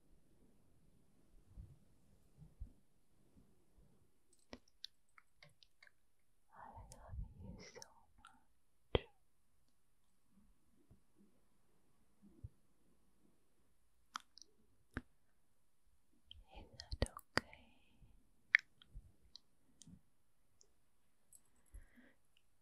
I love you so much. Is that okay?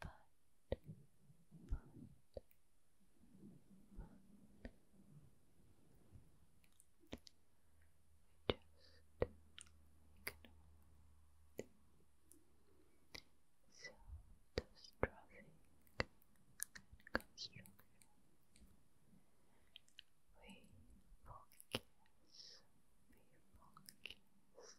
but, but, but. Just ignore. So destructive and constructive. We focus, we focus,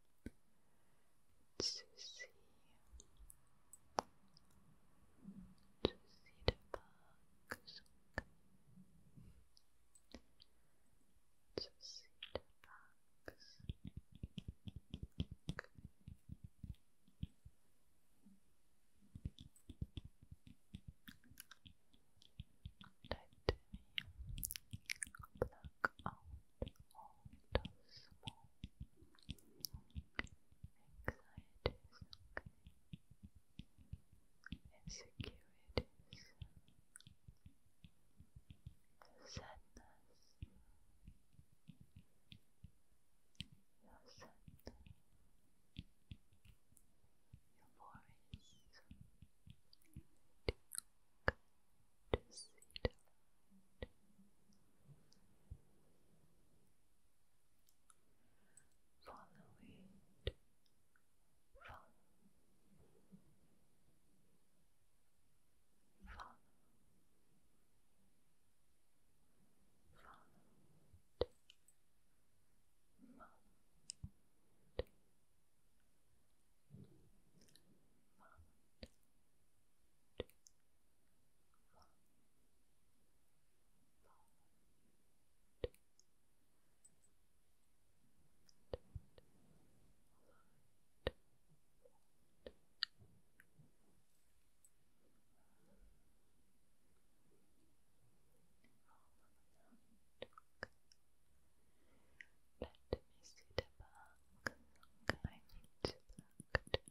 to see to see the bugs to see the bugs let me pluck insecurities, sadness, your sadness, your voice, deep, just sit out. Follow it. Follow. Follow. Follow Follow Follow let me see the back. I need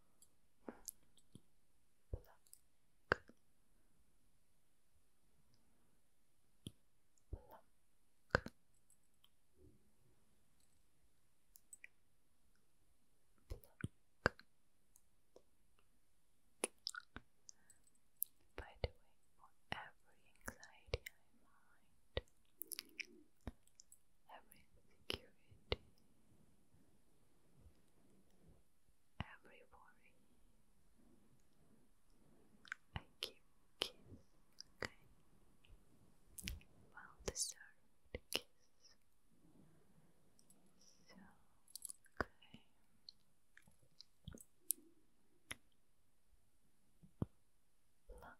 Pluck. Pluck. By the way, for every anxiety I mind, every insecurity, every worry. I give a kiss, Well deserved kiss. So, okay. Pluck,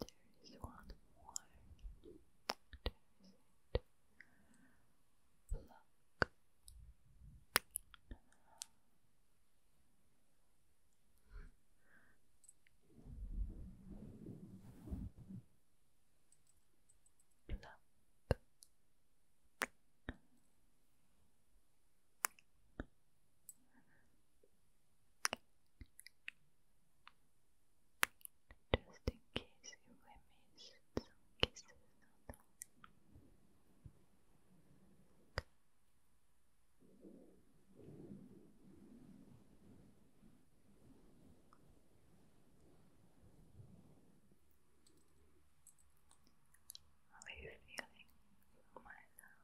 There is one more. There is it. Just in case you were missed some kisses how are you feeling, my love?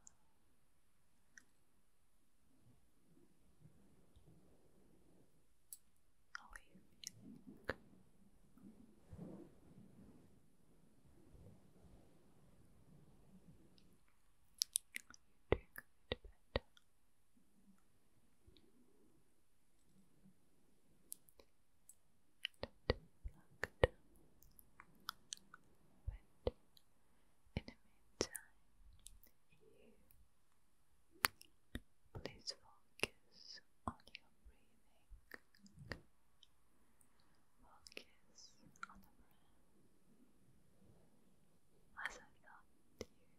I'll leave you think. You're doing good, but not plugged, but in the meantime, you. Please focus on your breathing. Focus on the breath. As I've done you before.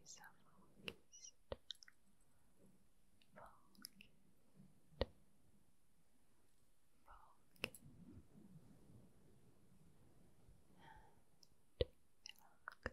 You sound focused. Focused. Focused. And relaxed. Relaxed.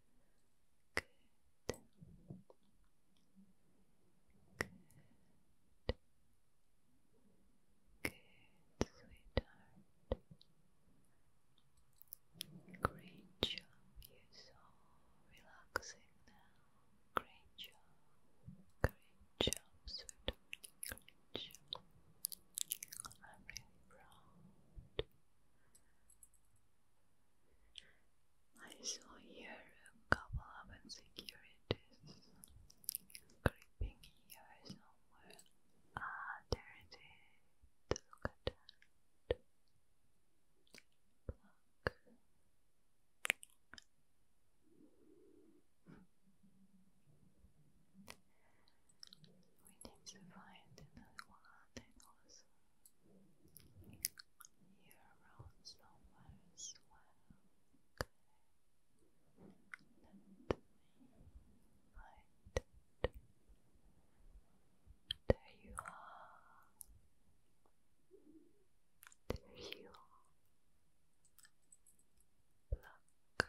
Good. Good. Good, sweetheart. Great job. You're so relaxing now. Great job. Great job, sweetheart. Great job. I'm really proud. I saw here a couple of insecurities creeping here somewhere. Ah, there it is. Look at that. We need to find another one also you're around somewhere as well. Okay. find it. There you are. There you are. Pluck.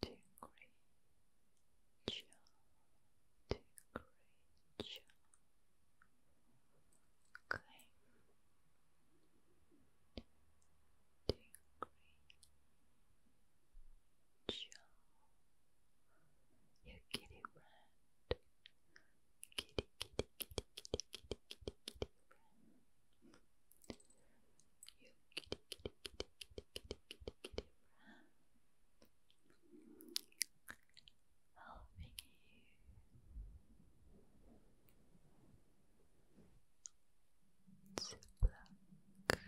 do a great job, do kitty rat. Kitty, kitty, kitty, kitty, kitty, kitty, kitty you kitty, kitty, kitty, kitty, kitty, kitty, helping you to block,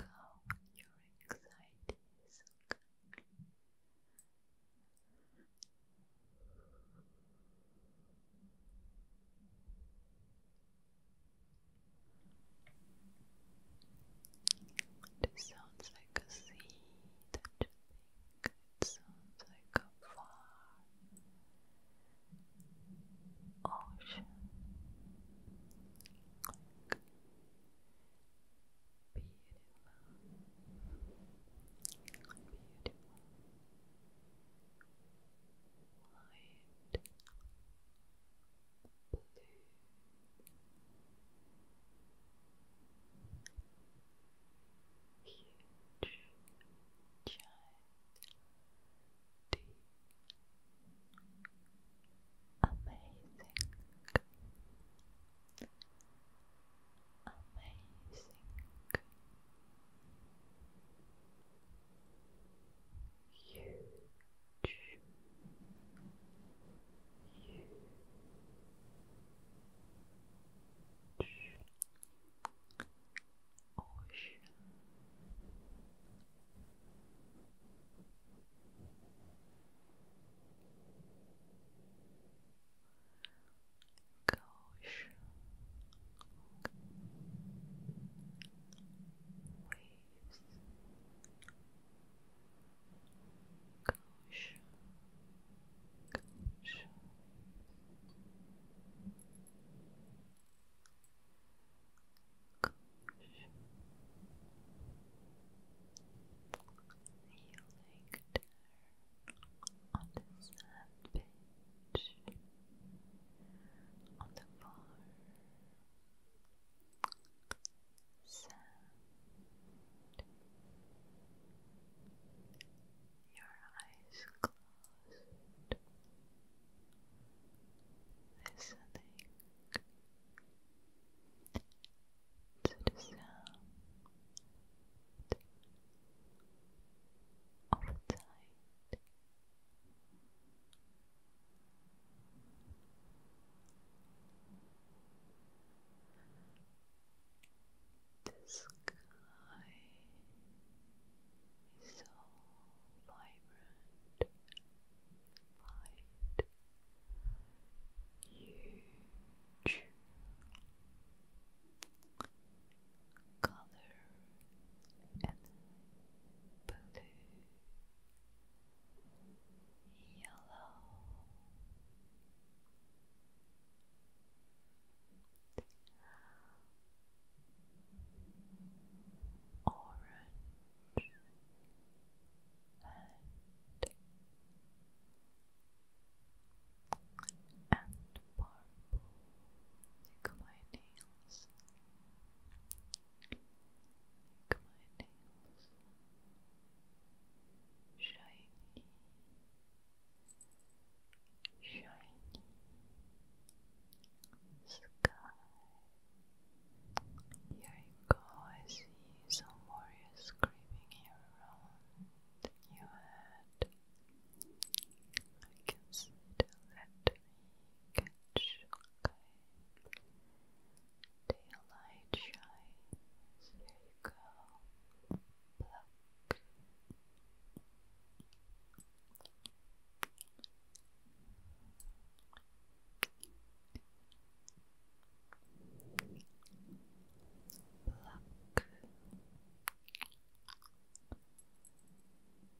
out your anxiety, this sounds like a sea, don't think? It sounds like a far ocean. beautiful, beautiful, wide, Huge, giant, deep, amazing, amazing huge, huge ocean. Gosh. We Gosh. Gosh. Gosh. You like on the sand bench, on the bar, sound. Your eyes closed, listening to the sound of a the sky is so vibrant, bright, huge color and blue yellow orange and and purple my nails Make shiny, shiny sky. Here you see some warriors creeping around your head. I can see the catch, okay. Daylight shines, there you go. Pluck. Pluck.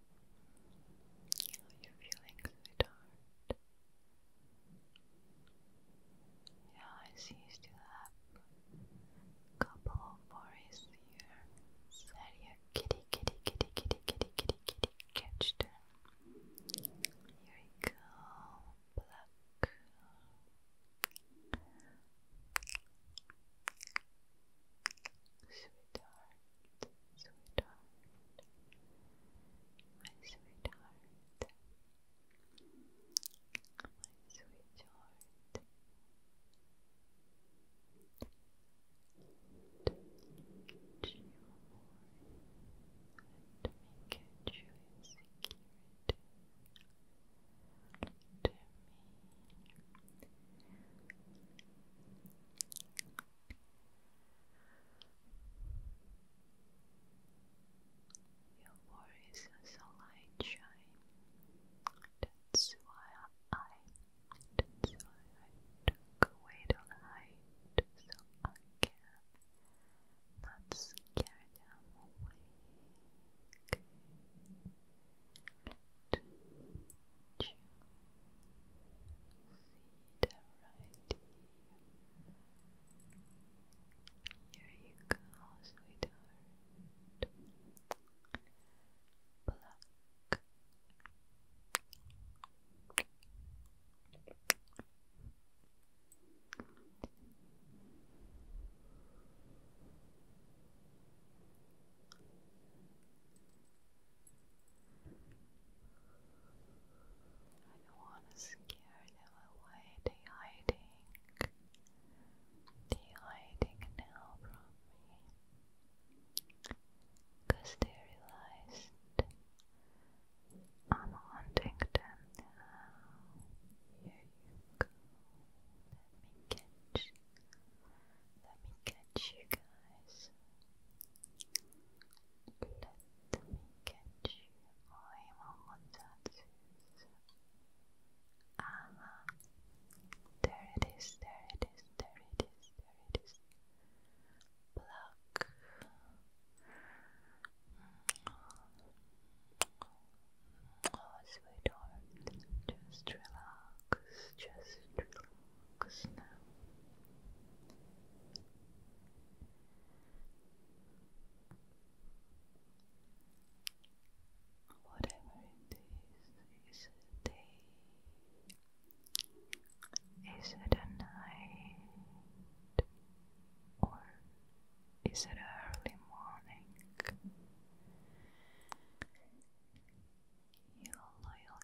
How you feeling, sweetheart? Yeah, I see you still have a couple of worries here. Sorry, your kitty, kitty, kitty, kitty, kitty, kitty, kitty, catch them. Here you go, pluck. Sweetheart, sweetheart, my sweetheart, my sweetheart. To you more and make your joy security to me. Your worries are so light shine. That's why I, that's why I took away so I can not scare them away. you Sit here. you go, sweetheart. Pluck. Pluck. I don't want to scare them away. They're hiding. They're hiding now from me. Because they realized I'm hunting them now. Here you go. Let me catch. Let me catch you guys. Let me get you. I'm on tattoos. Aha. There it is, there it is, there it is, there it is. Pluck. Oh, sweetheart, just relax, just relax. 끝이나 whatever it is, is it a day, is it a night, or is it early morning? You'll, you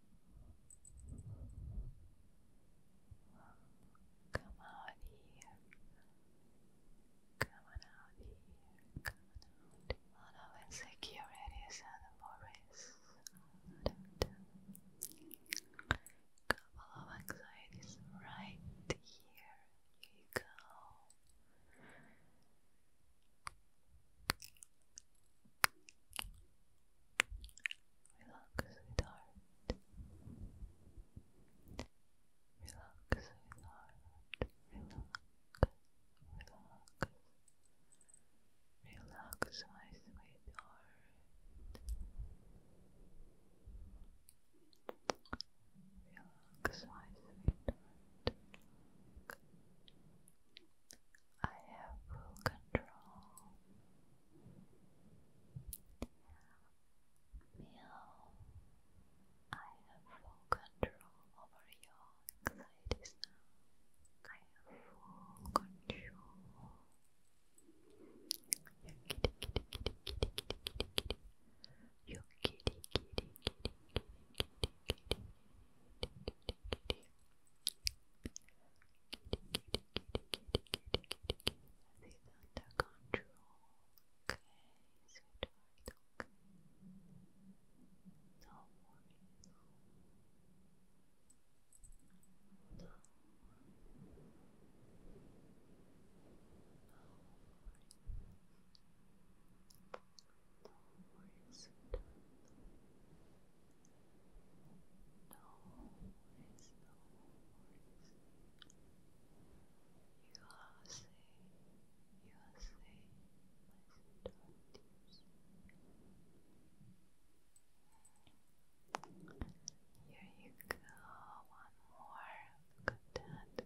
Come out here. Come out here. Come of insecurities and worries. couple of anxieties right here. Here you go. Relax, sweetheart. Relax, sweetheart. Relax, relax. Relax, my sweetheart. Relax, my sweetheart. I have full control Meow. I have full control over your I have full control. Your kitty, kitty, kitty, kitty, kitty, kitty. Your kitty, kitty, kitty, kitty, kitty, kitty, kitty, kitty, kitty kitty, kitty, under control. Okay, sweetheart, okay. No worries. No worries. No worries. No worries. No worries. No it's no worries. You are safe, you are safe, my daughters. Here you go, one more. Look at that,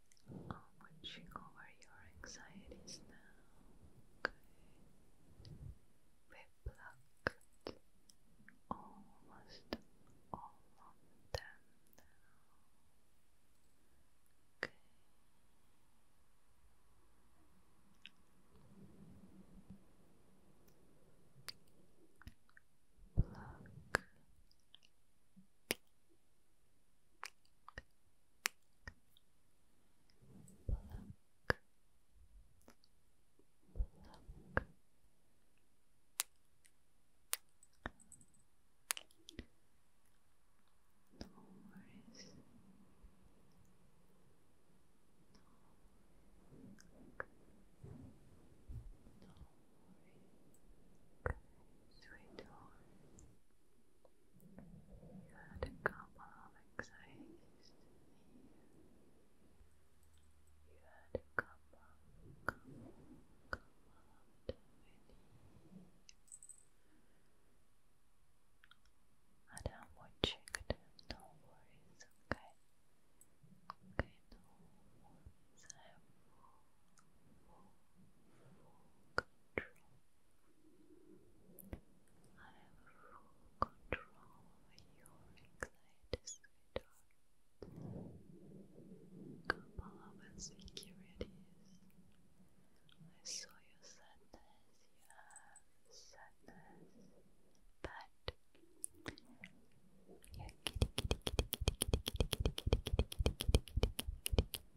I'm watching over your anxieties now. Good. We plucked almost all of them now. Good. Pluck Pluck. Pluck. No worries. No. No worries. Sweetheart had a couple of anxieties you had a couple, couple, couple of many and I'm watching them, no worries, okay? Okay, no worries, control. I have full control over your anxiety, sweetheart. Couple of insecurities. I saw your sadness. You sadness, but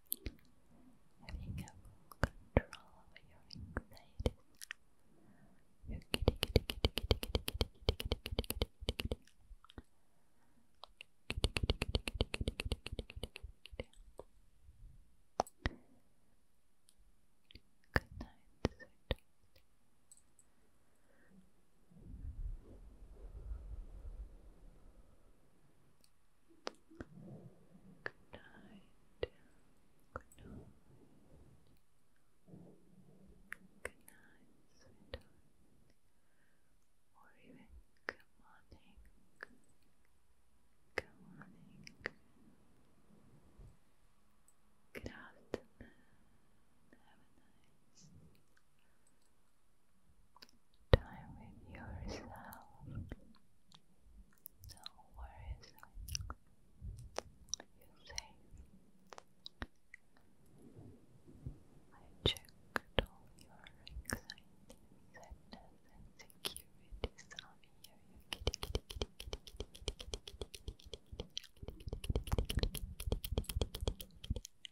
Having a control over your anxiety. Your kitty, kitty, kitty, kitty, kitty, kitty, kitty, kitty, kitty, kitty, kitty. Good night, sweet. Good night. Good night. Good night, sweetheart. Or even good morning. Good morning. Good afternoon. Have a nice time with yourself. No worries. You're I checked all your anxiety, sadness, and You kitty,